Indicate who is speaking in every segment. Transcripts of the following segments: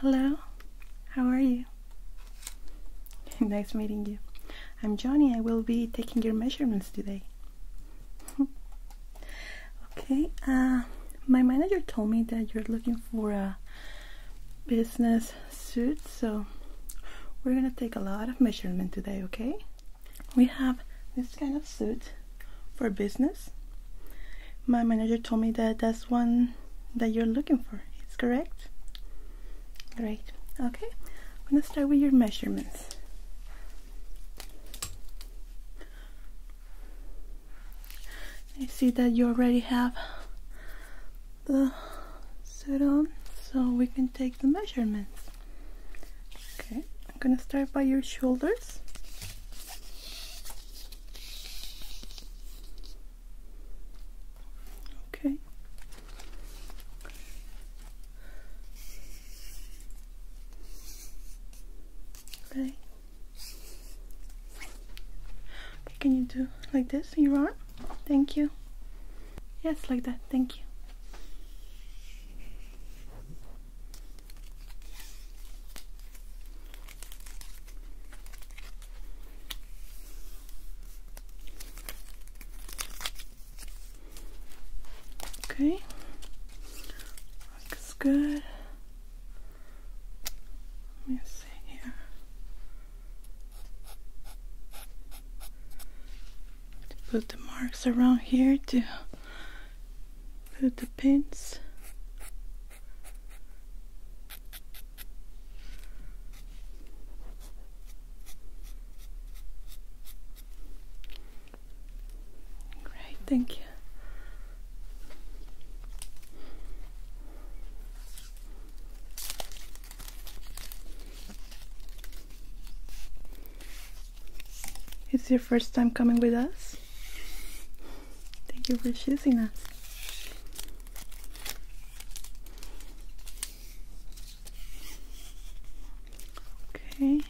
Speaker 1: Hello, how are you? nice meeting you. I'm Johnny, I will be taking your measurements today. Okay, uh, my manager told me that you're looking for a business suit, so we're gonna take a lot of measurement today, okay? We have this kind of suit for business. My manager told me that that's one that you're looking for. It's correct? Great. Okay, I'm gonna start with your measurements. I see that you already have the suit on, so we can take the measurements. Okay, I'm gonna start by your shoulders. Okay. Okay. Can you do like this You your arm? Thank you. Yes, like that. Thank you. Okay. Looks good. Let me see here. put the marks around here to put the pins. Great, thank you you. It's your first time coming with us. Thank you for choosing us. Okay.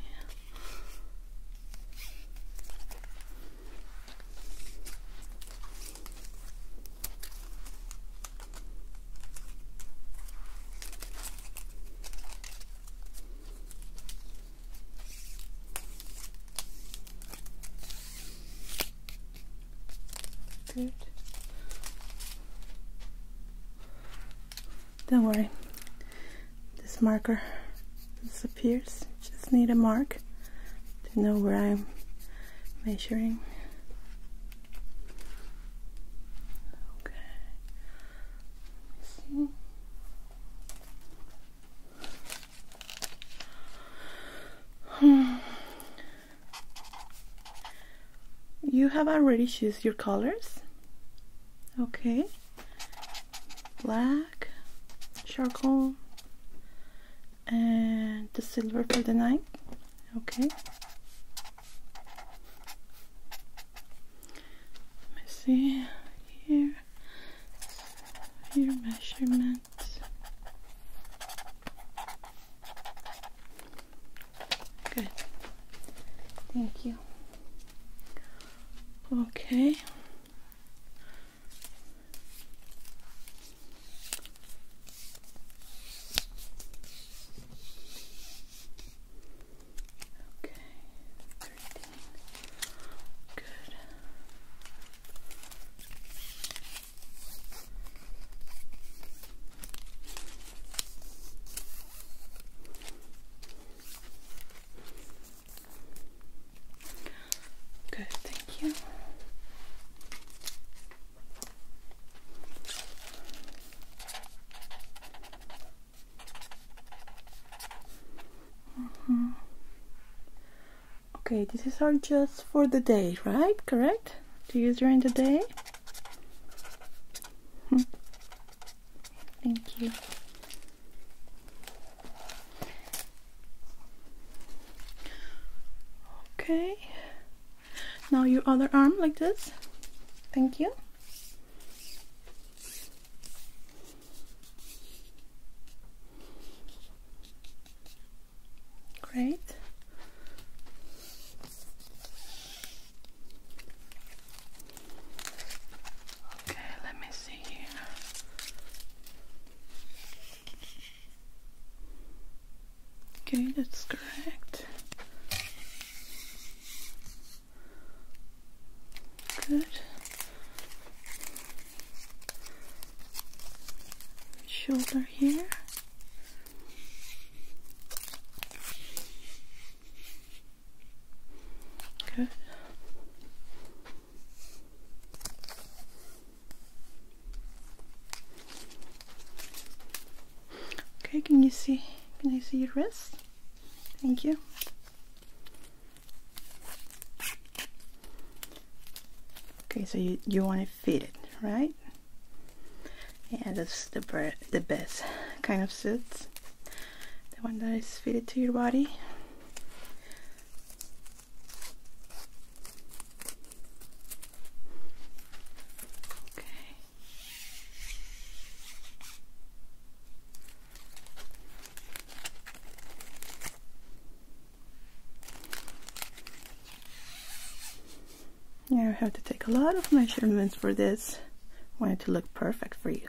Speaker 1: Don't worry, this marker disappears just need a mark to know where I'm measuring. Okay. Hmm. You have already choose your colors. Okay black charcoal and the silver for the night okay let me see here your measurements good thank you okay Okay, thirteen. Good. Okay. Good, thank you. Mm-hmm. Okay, this is all just for the day, right? Correct? To use during the day? Thank you. Okay. Now your other arm like this. Thank you. Great. Okay, let me see see Okay, that's correct. Good. Shoulder here. Good. Okay, can you see? Can I see your wrist? Thank you. Okay, so you, you want to fit it, right? Yeah, that's the, the best kind of suits. The one that is fitted to your body. Okay. You have to take a lot of measurements for this. I want it to look perfect for you.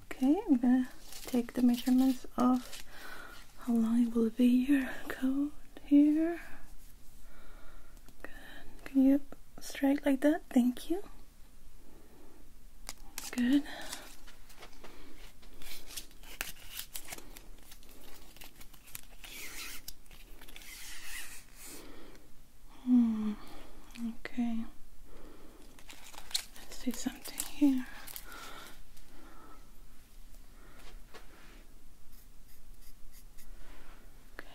Speaker 1: Okay, I'm gonna take the measurements of how long it will be your coat here. Can you strike like that? Thank you. Good. Hmm. Okay. Let's do something here. Okay.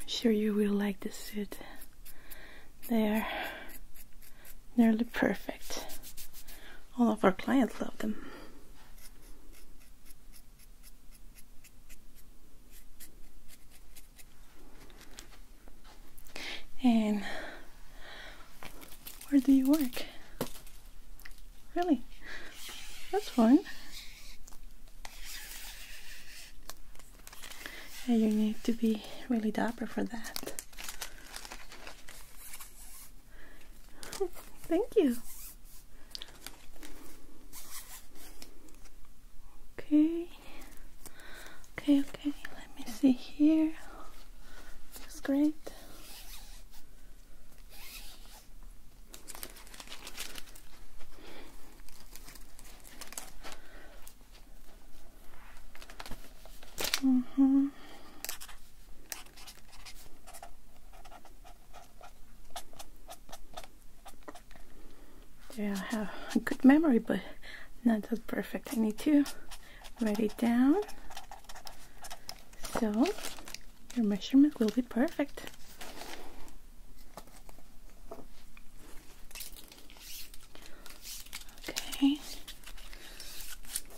Speaker 1: I'm sure you will like the suit. They are nearly perfect. All of our clients love them. And where do you work? Really? That's fun. And you need to be really dapper for that. Thank you. Okay. Okay, okay. Let me see here. Looks great. Mm-hmm. There I have a good memory, but not as perfect. I need to write it down. So your measurement will be perfect. Okay.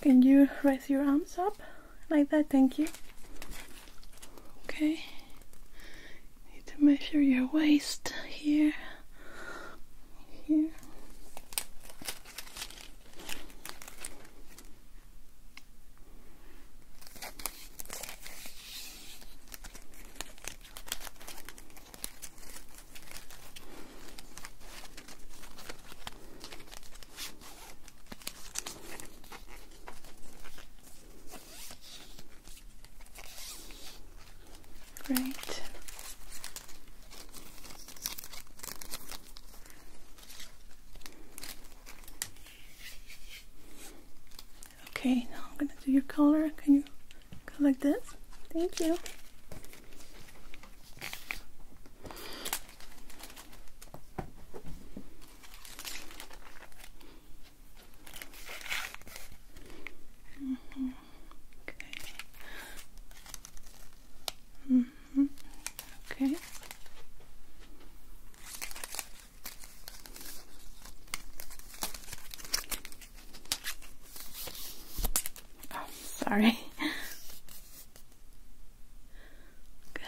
Speaker 1: Can you raise your arms up? like that. Thank you. Okay. Need to measure your waist here. Here. Right. Okay, now I'm gonna do your color. Can you go like this? Thank you. Okay. -hmm. Okay. Oh, sorry. Good.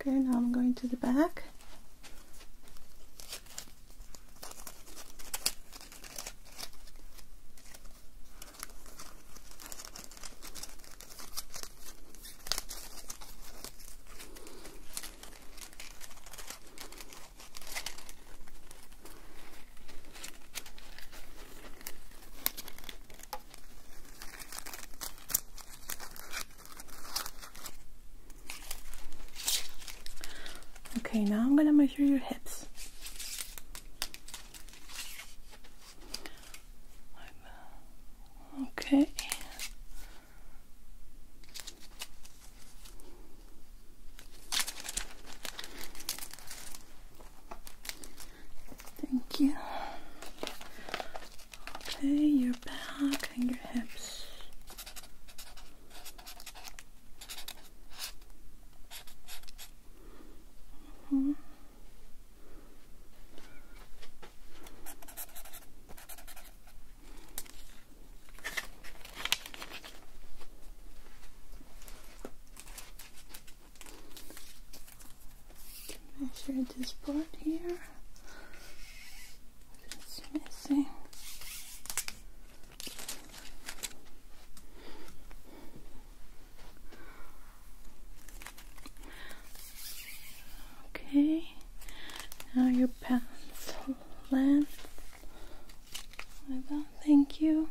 Speaker 1: Okay, now I'm going to the back. Okay, now I'm gonna measure your hips. Okay. Thank you. Okay, your back and your hips. -hmm measure this part here. It's missing. Okay, now your pencil length. Thank you.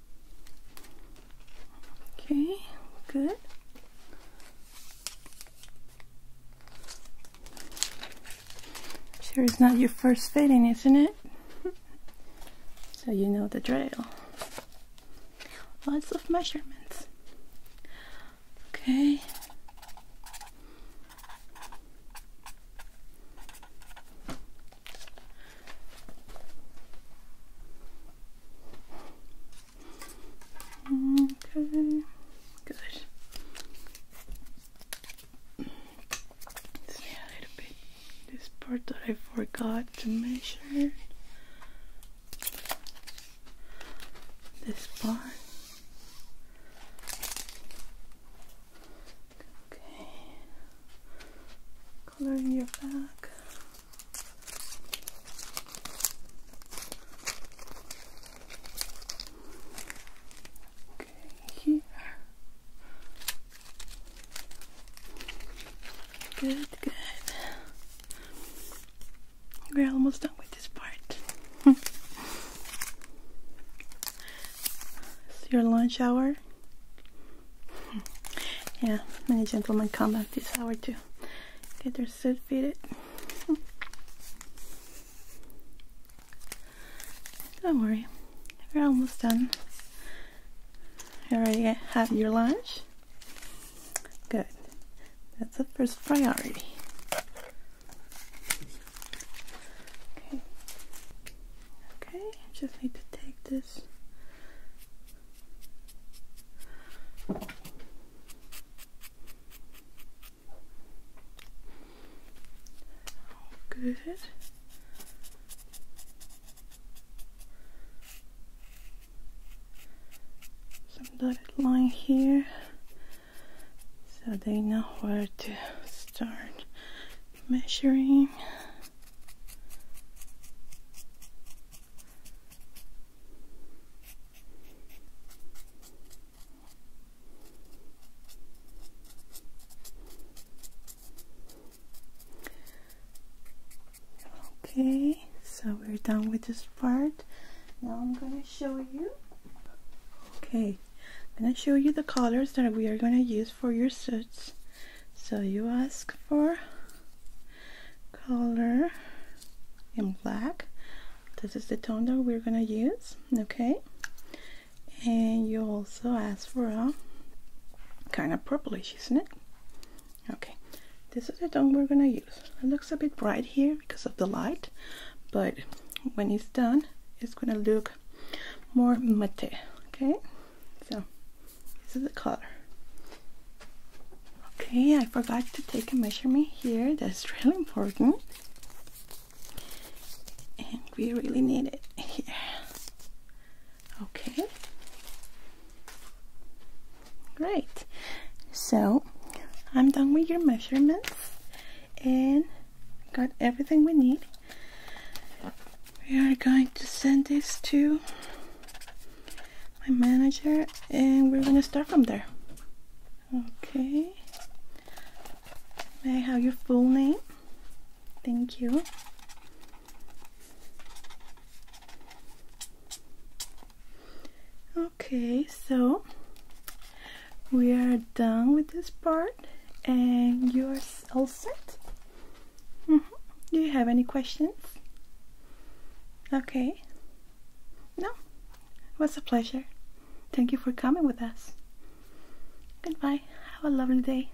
Speaker 1: Okay, good. Sure, it's not your first fitting, isn't it? so you know the drill. Lots of measurements. Okay. Okay, good. see a little bit this part that I forgot to measure. This part. Okay. Coloring your back. Okay, here. Good, good. We're almost done with this part. it's your lunch hour yeah, many gentlemen come at this hour to get their suit fitted. Don't worry, we're almost done. You already have your lunch? Good. That's the first priority. Okay. Okay, just need to take this. Good. Some dotted line here so they know where to start measuring. Okay, so we're done with this part. Now I'm gonna show you. Okay, I'm gonna show you the colors that we are gonna use for your suits so you ask for color in black this is the tone that we're gonna use okay and you also ask for a kind of purplish isn't it okay this is the tone we're gonna use it looks a bit bright here because of the light but when it's done it's gonna look more matte okay so this is the color. Okay, I forgot to take a measurement here. That's really important. And we really need it here. Okay. Great. So I'm done with your measurements and got everything we need. We are going to send this to my manager and we're going to start from there. Okay. May I have your full name? Thank you. Okay, so we are done with this part and you all set. Mm-hmm. Do you have any questions? Okay. No? It was a pleasure. Thank you for coming with us. Goodbye. Have a lovely day.